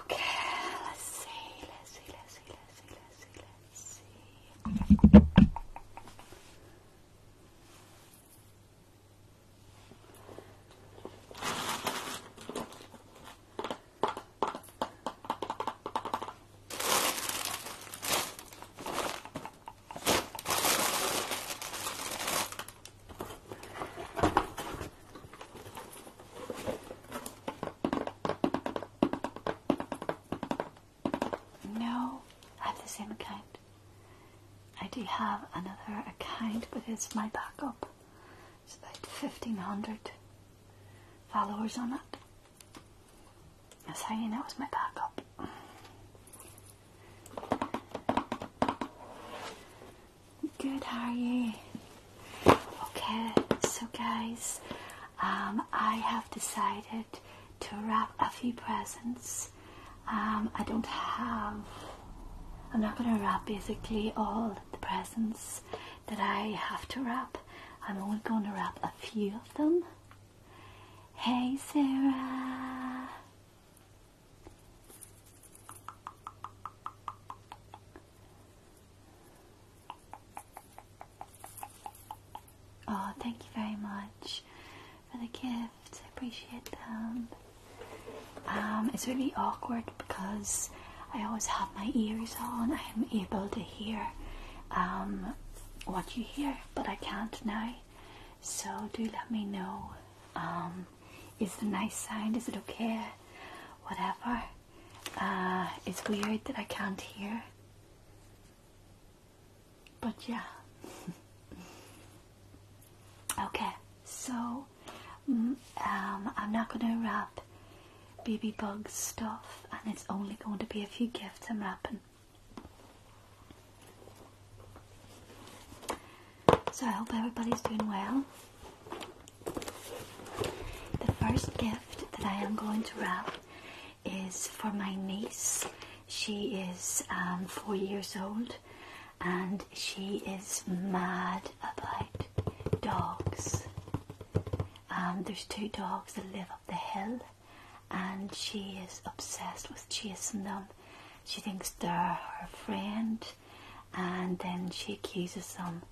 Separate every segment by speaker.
Speaker 1: Okay, let's see, let's see, let's see, let's see, let's see, let's see. No, I have the same account. I do have another account, but it's my backup. It's about 1500 followers on it. That's how you know it's my backup. Good, how are you? Okay, so guys, um, I have decided to wrap a few presents. Um, I don't have, I'm not going to wrap basically all the presents that I have to wrap. I'm only going to wrap a few of them. Hey, Sarah. Oh, thank you very much for the gift. I appreciate them. Um, it's really awkward because I always have my ears on. I am able to hear um, what you hear, but I can't now. So do let me know. Um, is the nice sign? Is it okay? Whatever. Uh, it's weird that I can't hear. But yeah. okay, so mm, um, I'm not going to wrap BB Bugs stuff, and it's only going to be a few gifts I'm wrapping. So I hope everybody's doing well. The first gift that I am going to wrap is for my niece. She is um, four years old and she is mad about dogs. Um, there's two dogs that live up the hill and she is obsessed with chasing them. She thinks they're her friend and then she accuses them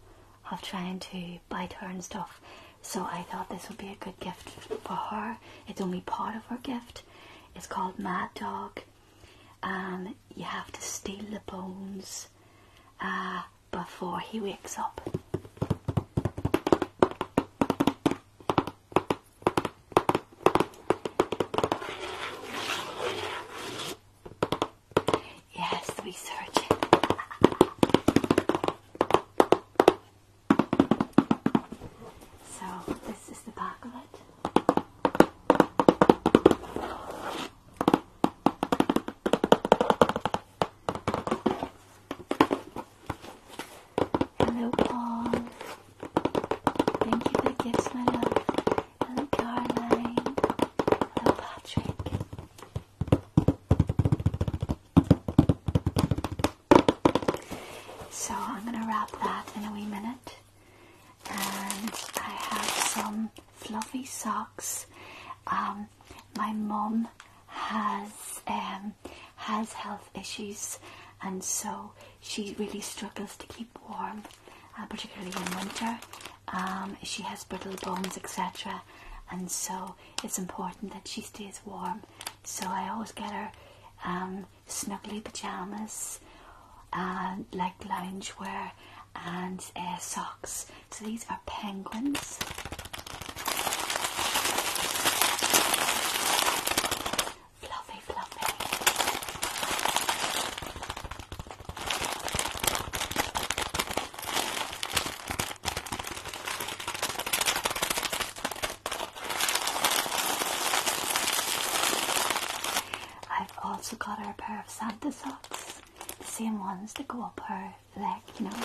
Speaker 1: of trying to bite her and stuff. So I thought this would be a good gift for her. It's only part of her gift. It's called Mad Dog. Um, you have to steal the bones uh, before he wakes up. Yes, we search it. So this is the back of it. Hello Paul. Thank you for the gifts, my love. Hello Caroline. Hello Patrick. So I'm going to wrap that in a wee minute. And I have some fluffy socks. Um, my mum has um, has health issues, and so she really struggles to keep warm, uh, particularly in winter. Um, she has brittle bones, etc. And so it's important that she stays warm. So I always get her um, snuggly pajamas, uh, and like loungewear, and socks. So these are penguins. Fluffy, fluffy. I've also got her a pair of Santa socks, the same ones that go up her leg, you know.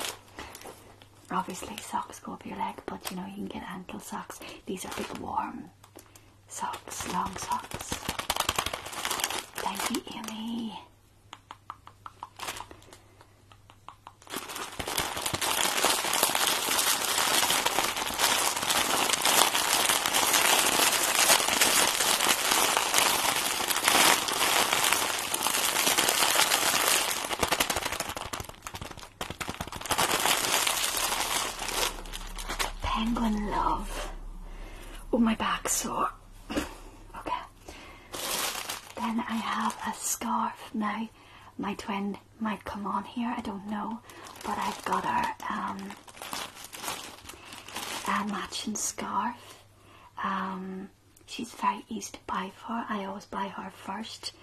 Speaker 1: Obviously, socks go up your leg, but you know, you can get ankle socks. These are big, warm socks, long socks. Thank you, Amy. Penguin love. Oh, my back's sore okay. Then I have a scarf now. My twin might come on here, I don't know, but I've got her um, a matching scarf. Um, she's very easy to buy for. I always buy her first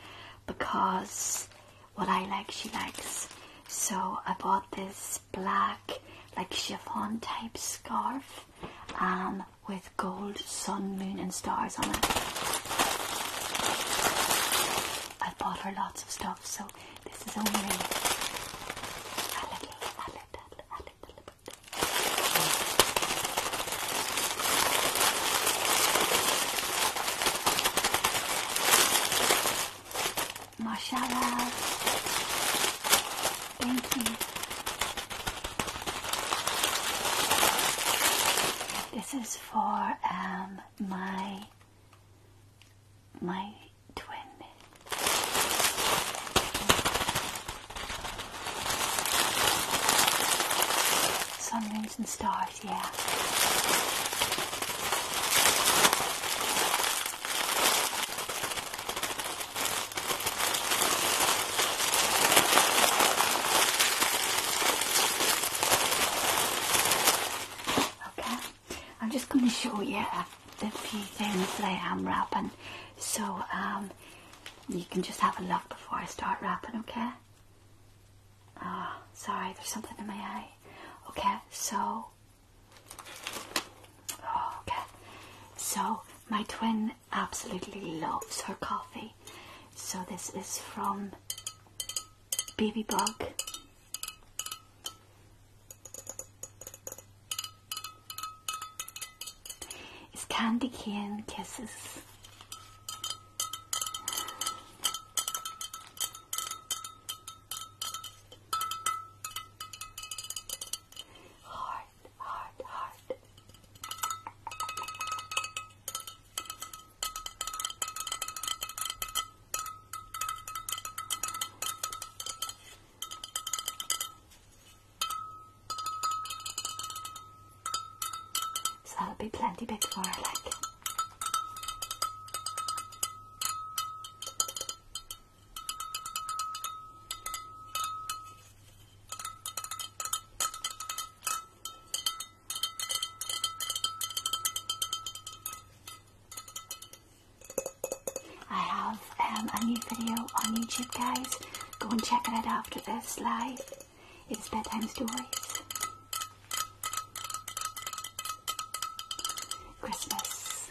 Speaker 1: because what I like, she likes. So I bought this black, like chiffon type scarf um, with gold, sun, moon, and stars on it. i bought her lots of stuff, so this is only a little, a little, a little bit. Mashallah. Thank you. This is for um, my my twin. Sun, moons, and stars. Yeah. Okay, I'm just going to show you a, few things that I am wrapping, so um, you can just have a look before I start wrapping. Okay. Ah, sorry, there's something in my eye. Okay, so Okay, so my twin absolutely loves her coffee. So this is from Baby Bug. It's Candy Cane Kisses. So that'll be plenty big for her, like. I have um, a new video on YouTube, guys. Go and check it out after this live. It's bedtime stories. Christmas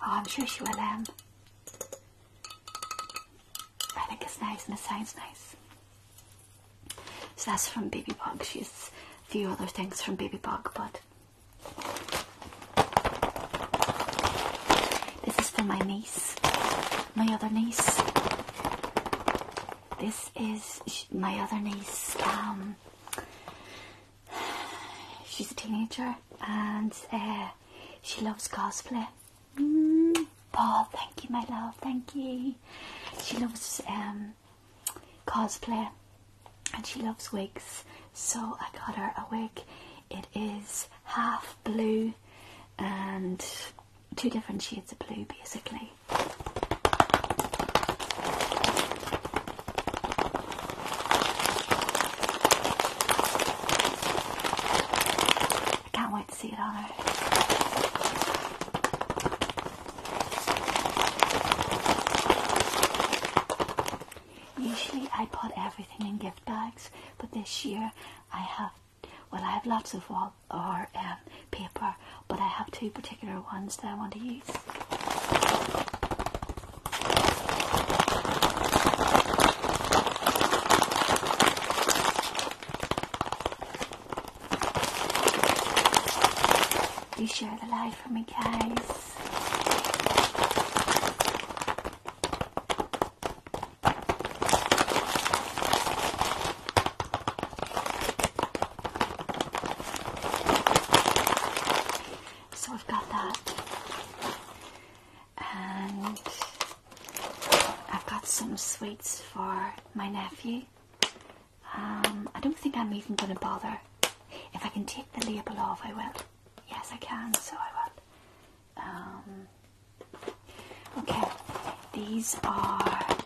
Speaker 1: Oh, I'm sure she will. Um, I think it's nice and it sounds nice. So that's from Baby Bug. She has a few other things from Baby Bug, but this is for my niece, my other niece. This is my other niece. Um, she's a teenager and uh, she loves cosplay. Mm. Paul, thank you, my love, thank you. She loves um, cosplay and she loves wigs, so I got her a wig. It is half blue and two different shades of blue basically. I can't wait to see it on her. Usually I put everything in gift bags, but this year I have well, I have lots of wall or um, paper, but I have two particular ones that I want to use. You share the light for me, guys. So I've got that. And I've got some sweets for my nephew. Um, I don't think I'm even going to bother. If I can take the label off, I will. Yes, I can, so I will. Um, okay, these are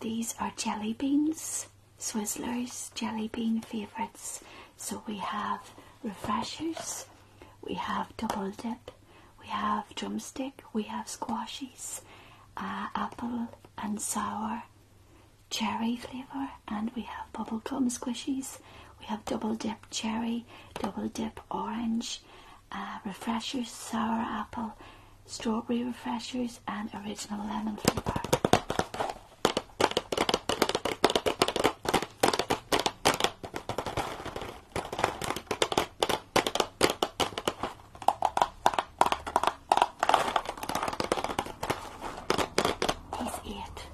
Speaker 1: these are jelly beans Swizzlers, jelly bean favourites. So we have refreshers, we have double dip, we have drumstick, we have squashies, uh, apple and sour, cherry flavour, and we have bubblegum squishies. We have double dip cherry, double dip orange, uh, refreshers, sour apple, strawberry refreshers, and original lemon flavour. He's it.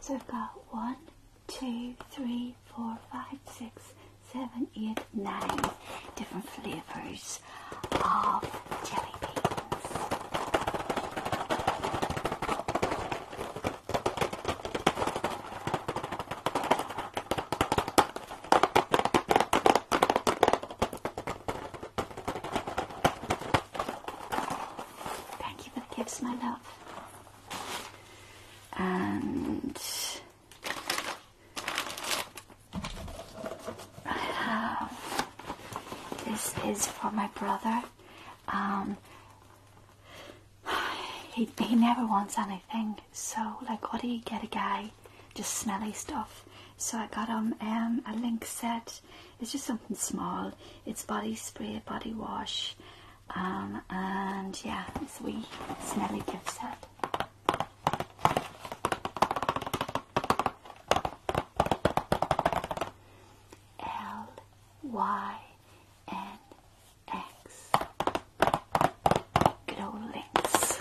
Speaker 1: So I've got one, two, three, four, five, six, seven, eight, nine different flavours of jelly beans. Thank you for the gifts, my love. And I have this is for my brother. Um, he, he never wants anything, so like, what do you get a guy? Just smelly stuff. So I got him um, a link set it's just something small. It's body spray, body wash, um, and yeah, it's a wee smelly gift set. L Y N X. Good old links.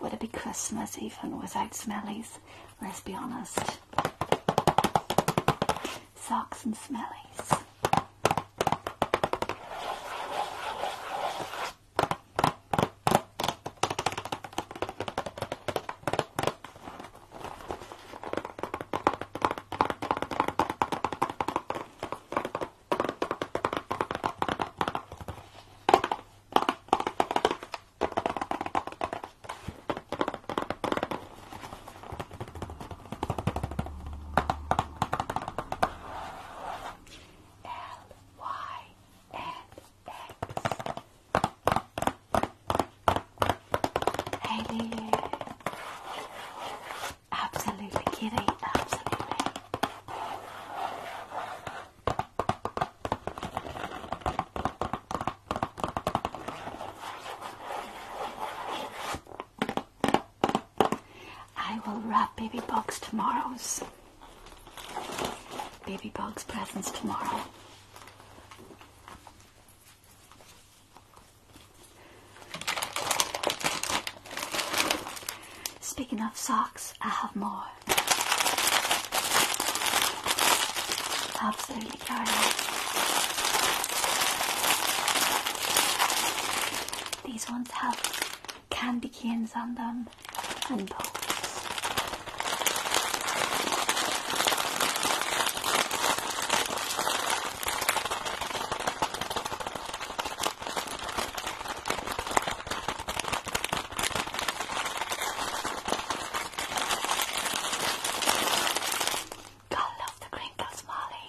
Speaker 1: Would it be Christmas even without smellies? Let's be honest. Socks and smellies. L Y N X. Haley. Absolutely, kitty. Absolutely. I will wrap Baby Bog's tomorrow's Baby Bog's presents tomorrow. Speaking of socks, I have more. Absolutely gorgeous. These ones have candy canes on them and both. God love the crinkles, Molly.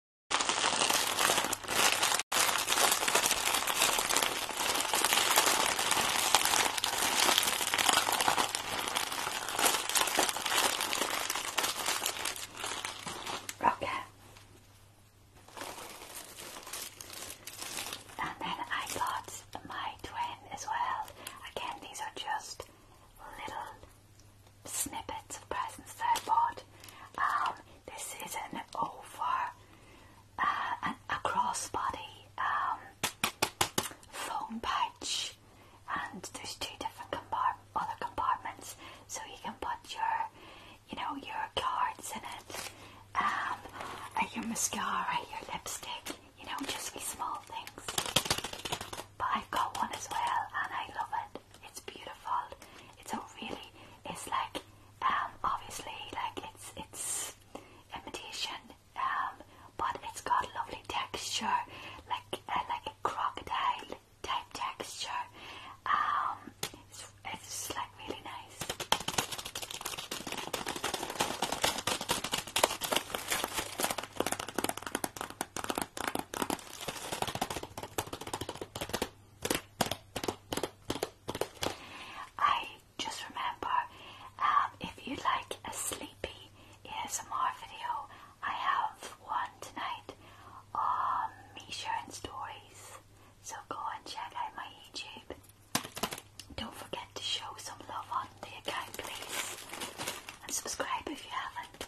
Speaker 1: Okay. And then I got my twin as well. Again, these are just little snippets of presents that I bought. Um, this is an over, uh, a crossbody um, phone pouch, and there's two different other compartments, so you can put your, you know, your cards in it, um, your mascara, your lipstick, you know, just these small things. But I've got one as well, and I love it. It's beautiful. It's a really, it's like, um, obviously, like it's it's imitation, um, but it's got lovely texture, like uh, like a crocodile type texture. Um, it's, it's like really nice. I just remember um, if you would like a sleepy ASMR video, I have one tonight on me sharing Stories. So go and check out my YouTube. Don't forget to show some love on the account, please, and subscribe if you haven't.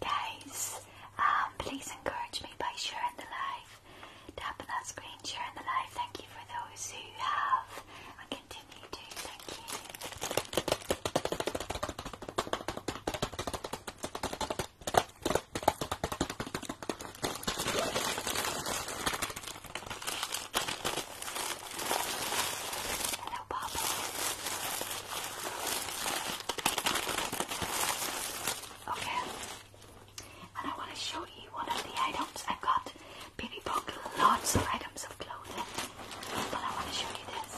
Speaker 1: Guys, um, please encourage me by sharing the live. Tap on that screen, sharing the live. Thank you for those who have Hello, Papa. Okay. And I want to show you one of the items I've got. Penny bought lots of items of clothing, but I want to show you this.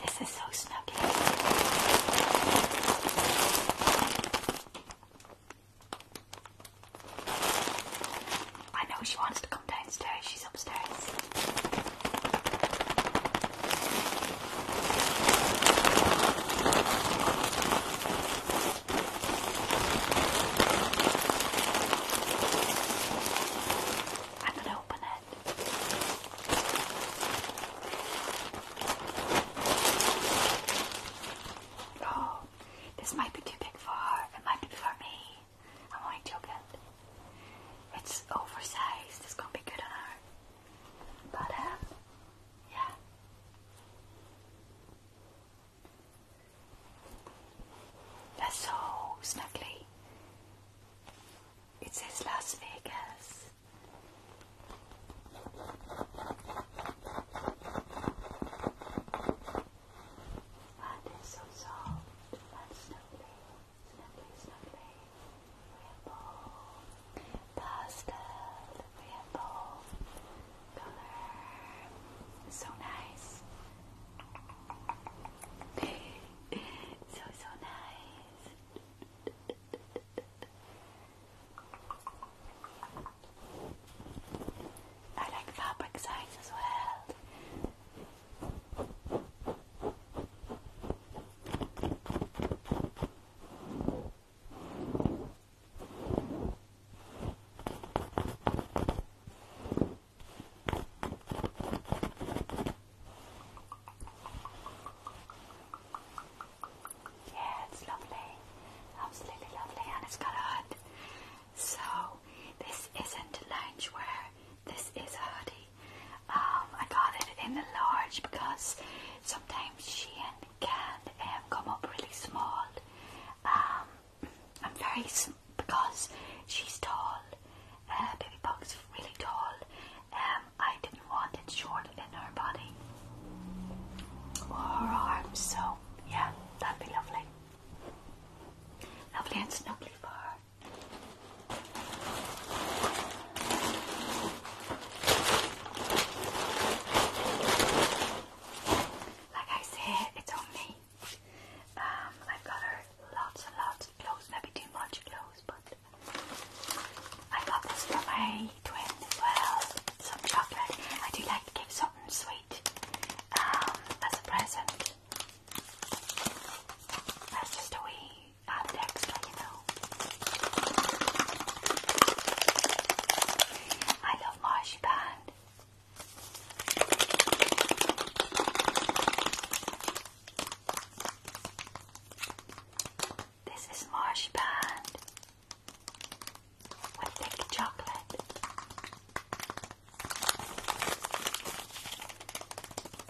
Speaker 1: This is so snuggy. I know she wants to come downstairs upstairs. I'm gonna open it. Oh, this might be too big for her. It might be for me. I'm only joking. It's oversized, it's gonna be good on her. But, um, yeah. That's so snuggly. It says Las Vegas. And so soft and snuggly. Snappy, snappy. Ripple. Pastel. Ripple. Color. So nice. so, so nice. I like fabric signs as well. Yeah, it's lovely, absolutely lovely, and it's So this isn't a loungewear. This is a hoodie. Um, I got it in the large because sometimes Shein can um, come up really small. Um, I'm very because she's tall. Uh, Baby Pug's really tall. Um, I didn't want it short in her body or her arms. So yeah, that'd be lovely. Lovely and snuggly for her. Like I said, it's on me. Um, I've got her lots and lots of clothes, maybe too much clothes, but I got this for my twin as well. Some chocolate. I do like to give something sweet um, as a present. That's just a wee added extra, you know. I love marzipan. This is marzipan with thick chocolate.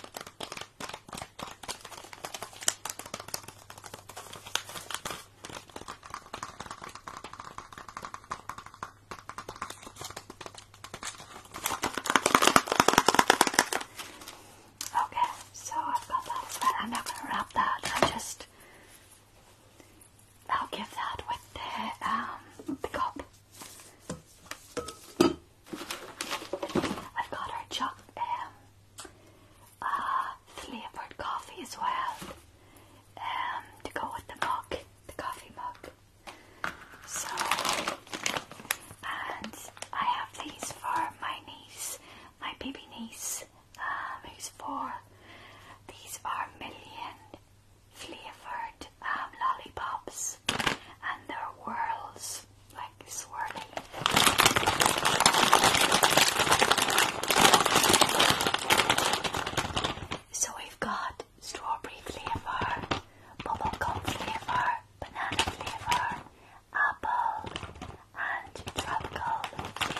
Speaker 1: Okay, so I've got that I'm not going to wrap that. I am just I'll give that with the um the cup. I've got our choc um, uh, flavoured coffee as well um, to go with the mug, the coffee mug. So, and I have these for my niece, my baby niece, um, who's four. These are million flavoured um, lollipops balls and their whirls like swirling. So we've got strawberry flavor, bubblegum flavor, banana flavor, apple, and tropical flavor.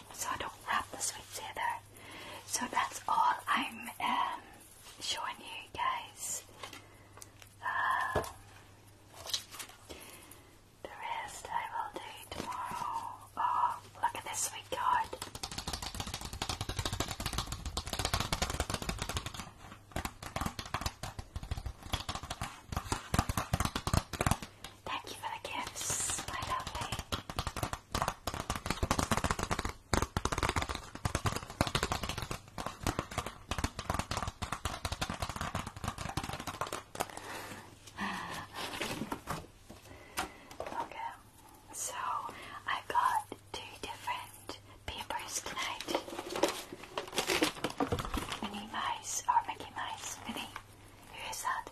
Speaker 1: so I don't wrap the sweets either. So that's all I'm um, showing you guys. Uh, the rest I will do tomorrow. Oh, look at this sweet card. Thank you for the gifts, my lovely. Okay, so I got two different papers tonight. Minnie Mouse or Mickey Mouse. Minnie, who is that?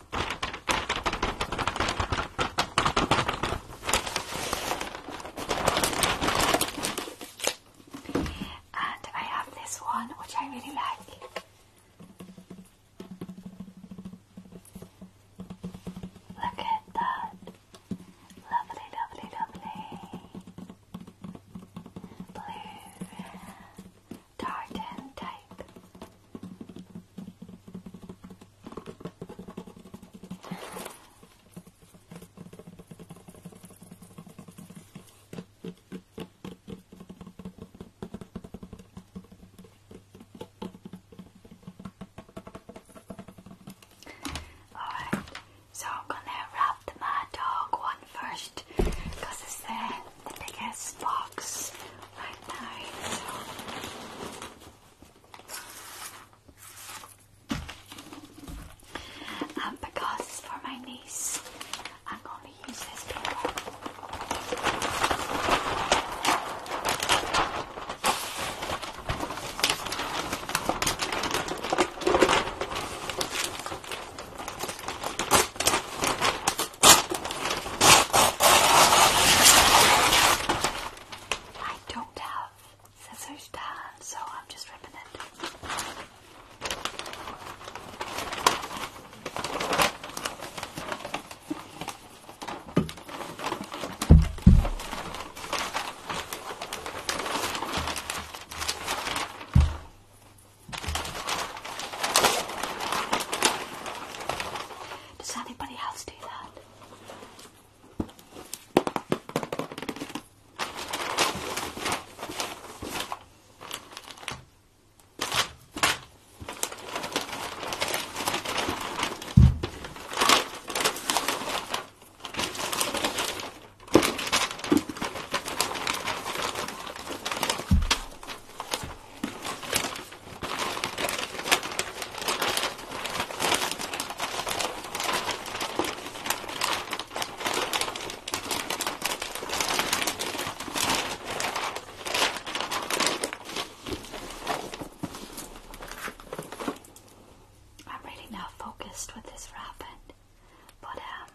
Speaker 1: And I have this one which I really like. Look at that. Lovely, lovely, lovely. Blue tartan type. Alright, so I'm gonna wrap the dog one first because it's the biggest box like that. So. because for my niece, I'm going to use this paper. I don't have scissors to hand, so I'm just ripping it. Does anybody else do that? I'm really now focused with this wrapping, but um,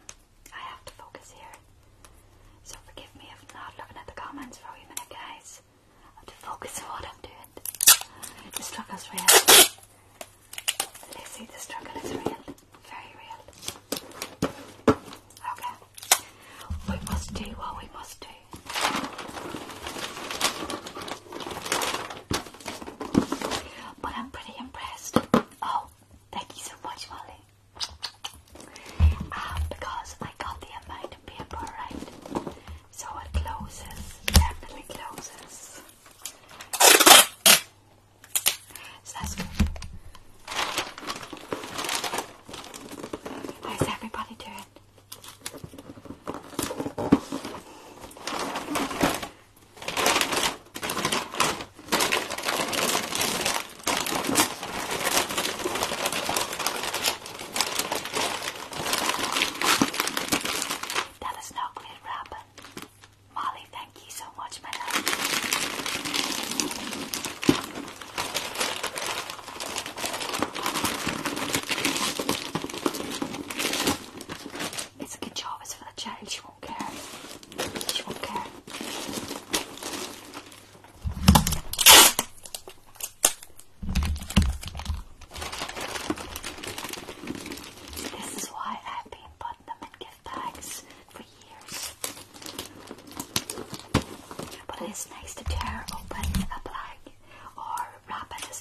Speaker 1: I have to focus here. So forgive me if not looking at the comments for a minute, guys. I have to focus on what I'm doing. The struggle's real. Lizzie, the struggle is real. Very real. Okay. We must do what we must do. But I'm pretty impressed. Oh, thank you so much, Molly uh, because I got the amount of paper right, so it closes, definitely closes. So that's good. How's everybody that is now clear wrap. Molly, thank you so much, my love. It's a good job, it's for the child, she won't care. She won't care. This is why I've been putting them in gift bags for years. But it's nice to tear open a bag or wrap it as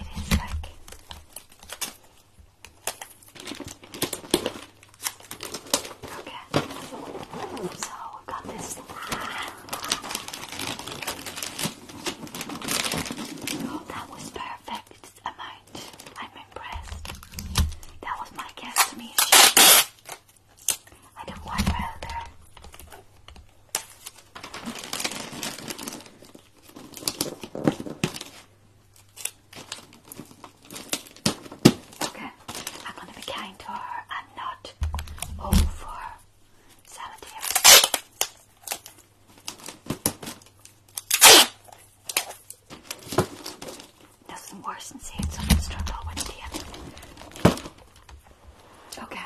Speaker 1: it is like Okay. So we've got this. Oh, that was perfect amount. I'm impressed. That was my guess me. I one well Okay, I'm gonna be kind to her and not over salivate. Nothing worse than seeing someone struggle with the Okay,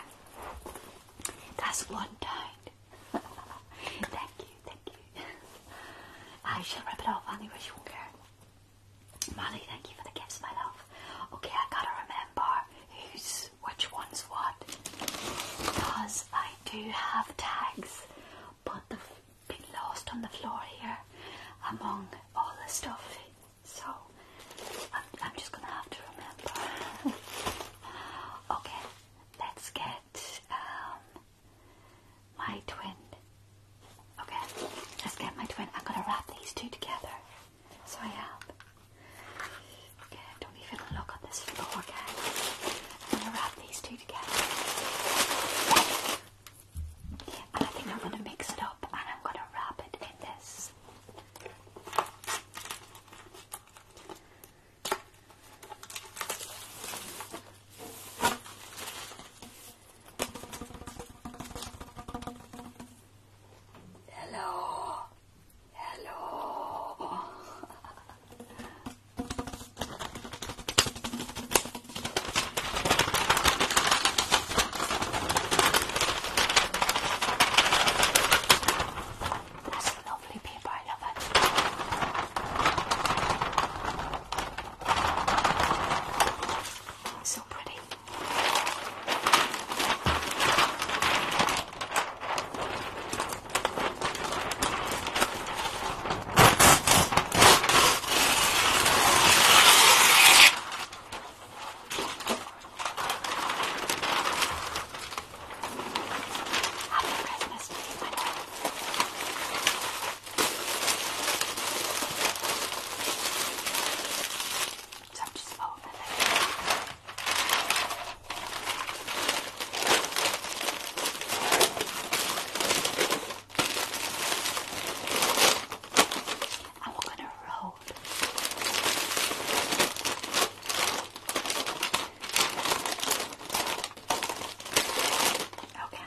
Speaker 1: that's one time. thank you, thank you. I shall rip it off anyway, she won't care. Molly, thank you for the gifts, my love. Okay, I gotta remember who's which one's what because I do have tags, but they've been lost on the floor here among all the stuff. So I'm, just gonna have to remember. okay, let's get um, my twin. Okay, let's get my twin. I'm gonna wrap these two together. So I have. Okay, don't even look at this floor, guys. I'm gonna wrap these two together. And I think I'm gonna mix it up and I'm gonna wrap it in this. Hello. Hello. That's lovely people, I love it. Oh, it's so pretty. Happy Christmas to you, my friend. So I'm just folding it. And we're going to roll. Okay.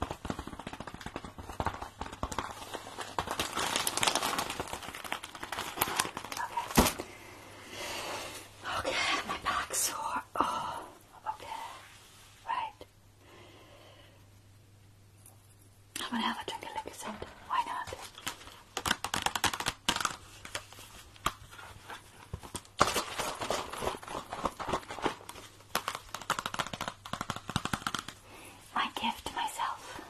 Speaker 1: Okay. Okay, my back's sore. Oh, okay. Right. I'm gonna have a drink of liquor soda. Why not? My gift myself.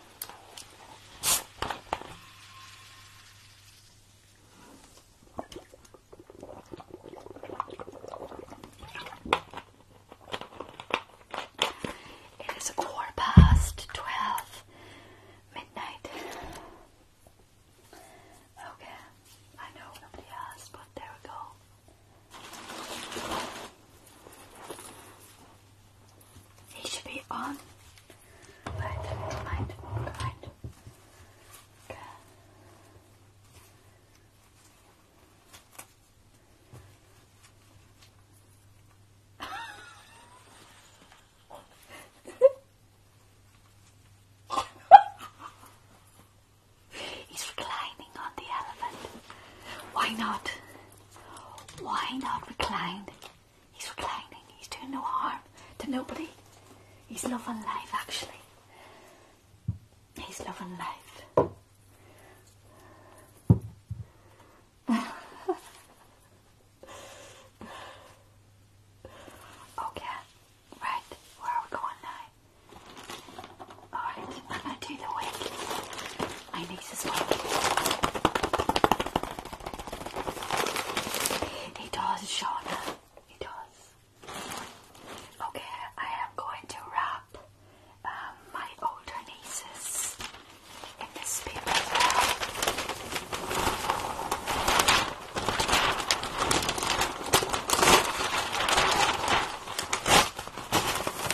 Speaker 1: It is quarter past twelve midnight. Okay, I know nobody asked, but there we go. He should be on. Right, right, right. Good. is reclining on the elephant. Why not? Why not recline? He's reclining. He's doing no harm to nobody. He's loving life, actually. He's loving life. okay, right, where are we going now? I'm going to do the wig. My niece's wig. It does, Shauna. It does. Okay, I am going to wrap um, my older nieces in this paper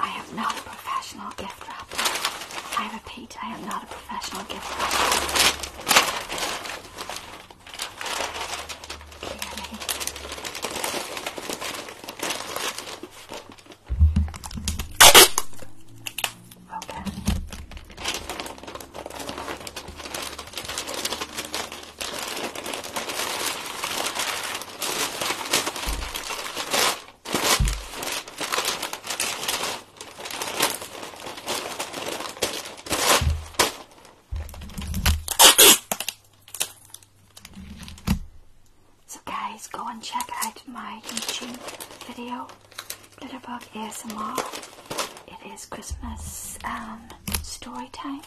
Speaker 1: I am not a professional gift wrapper. I repeat, I am not a professional gift wrapper. Okay. So guys, go and check out my YouTube video Little Glitterbug ASMR. It is Christmas um, story time.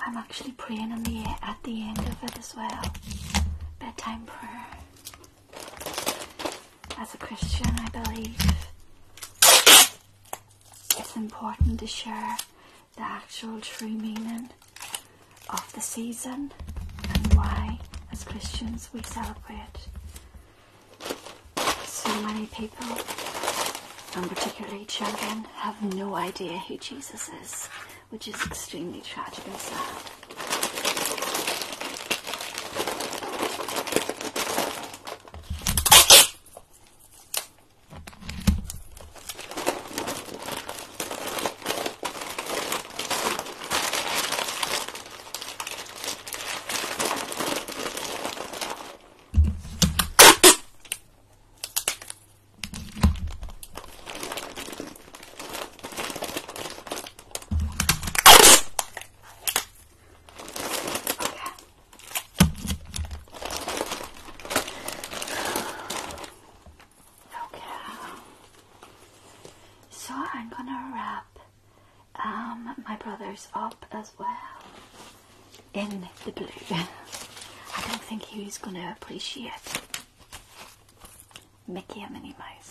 Speaker 1: I'm actually praying on the at the end of it as well. Bedtime prayer. As a Christian, I believe it's important to share the actual true meaning of the season and why, as Christians, we celebrate so many people, and particularly children, have no idea who Jesus is, which is extremely tragic and sad. Okay. Okay. So I'm gonna wrap um, my brother's up as well in the blue. I don't think he's going to appreciate Mickey and Minnie Mouse.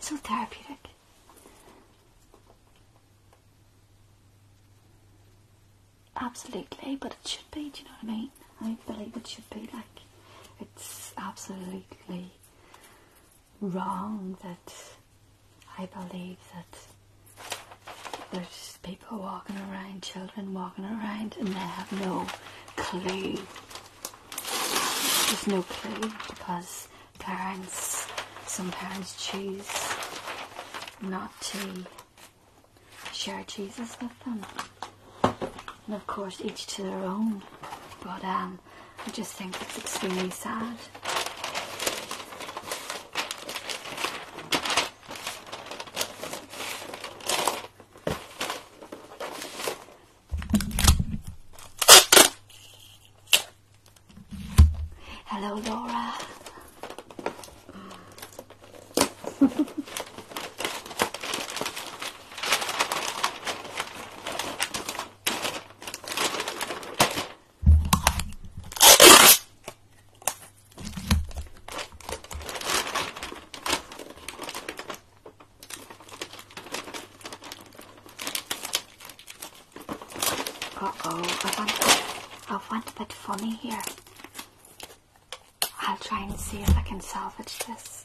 Speaker 1: So therapeutic. Absolutely, but it should be, do you know what I mean? I believe it should be like it's absolutely wrong that I believe that there's people walking around, children walking around, and they have no clue. There's no clue because parents, some parents choose not to share Jesus with them. And of course, each to their own. But um, I just think it's extremely sad. Hello, Laura. Uh-oh, I want, I a bit funny here. I'll try and see if I can salvage this.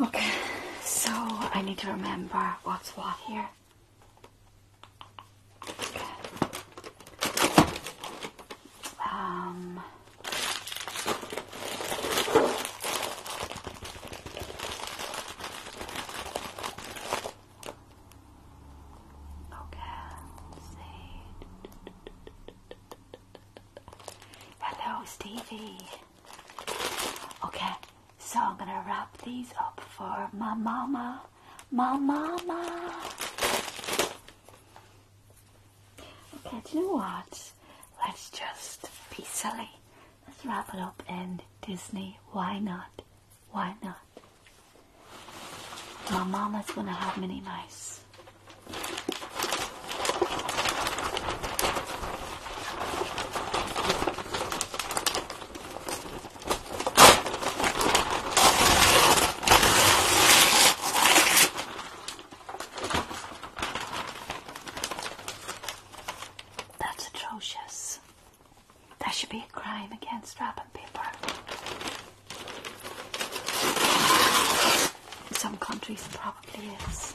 Speaker 1: Okay, so I need to remember what's what here. Um, okay, let Hello, Stevie. Okay, so I'm gonna wrap these up for my mama my mama. Okay, do you what? Let's just be silly. Let's wrap it up in Disney. Why not? Why not? My mama's gonna have many mice. That's atrocious. That should be a crime against wrapping paper. In some countries, probably is.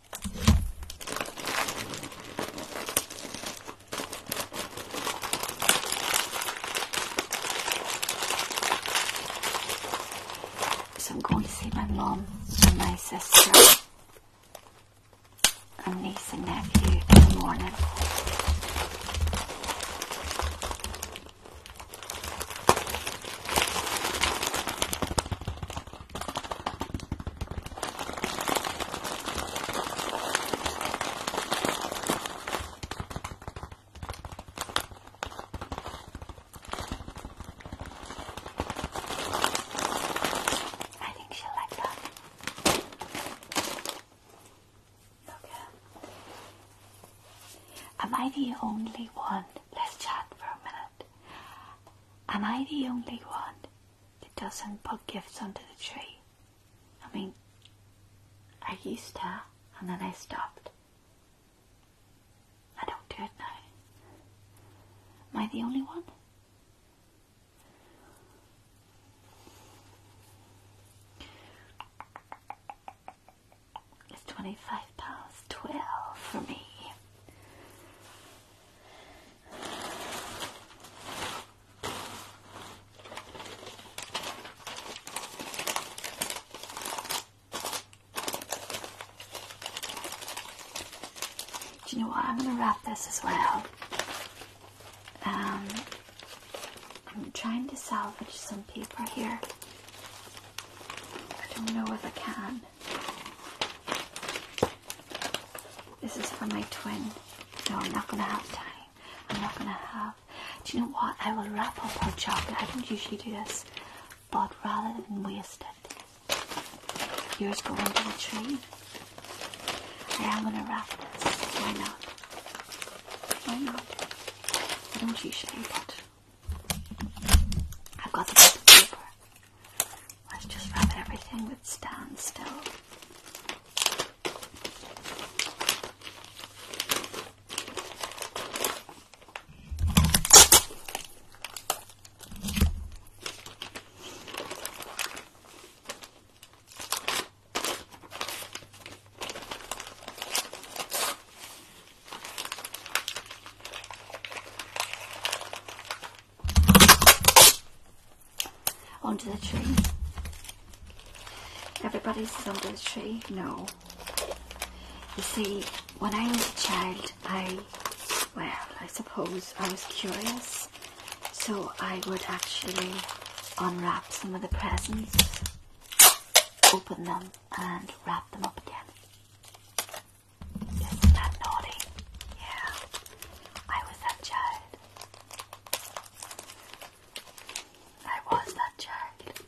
Speaker 1: So I'm going to see my mom and my sister and niece and nephew in the morning. I think she'll like that. Okay. Am I the only one? Let's chat for a minute. Am I the only one that doesn't put gifts under the tree. I mean, I used to, and then I stopped. I don't do it now. Am I the only one? It's £25, 12 for me. Do you know what? I'm going to wrap this as well. Um, I'm trying to salvage some paper here. I don't know if I can. This is for my twin. No, I'm not gonna have time. I'm not gonna have. Do you know what? I will wrap up her chocolate. I don't usually do this, but rather than waste it, yours go under the tree. I am gonna wrap this. Why not? Why not? Why don't you usually, but I've got the paper. Let's just wrap everything that stands still. Under the tree. Everybody's under the tree? No. You see, when I was a child, I, well, I suppose I was curious. So I would actually unwrap some of the presents, open them, and wrap them up again is that naughty? Yeah, I was that child. I was that child.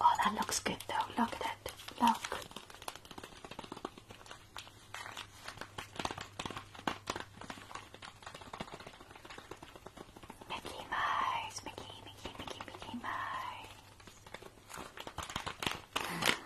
Speaker 1: Oh, that looks good though. Look at it. Look. Mickey Mouse, Mickey, Mickey, Mickey, Mickey Mouse.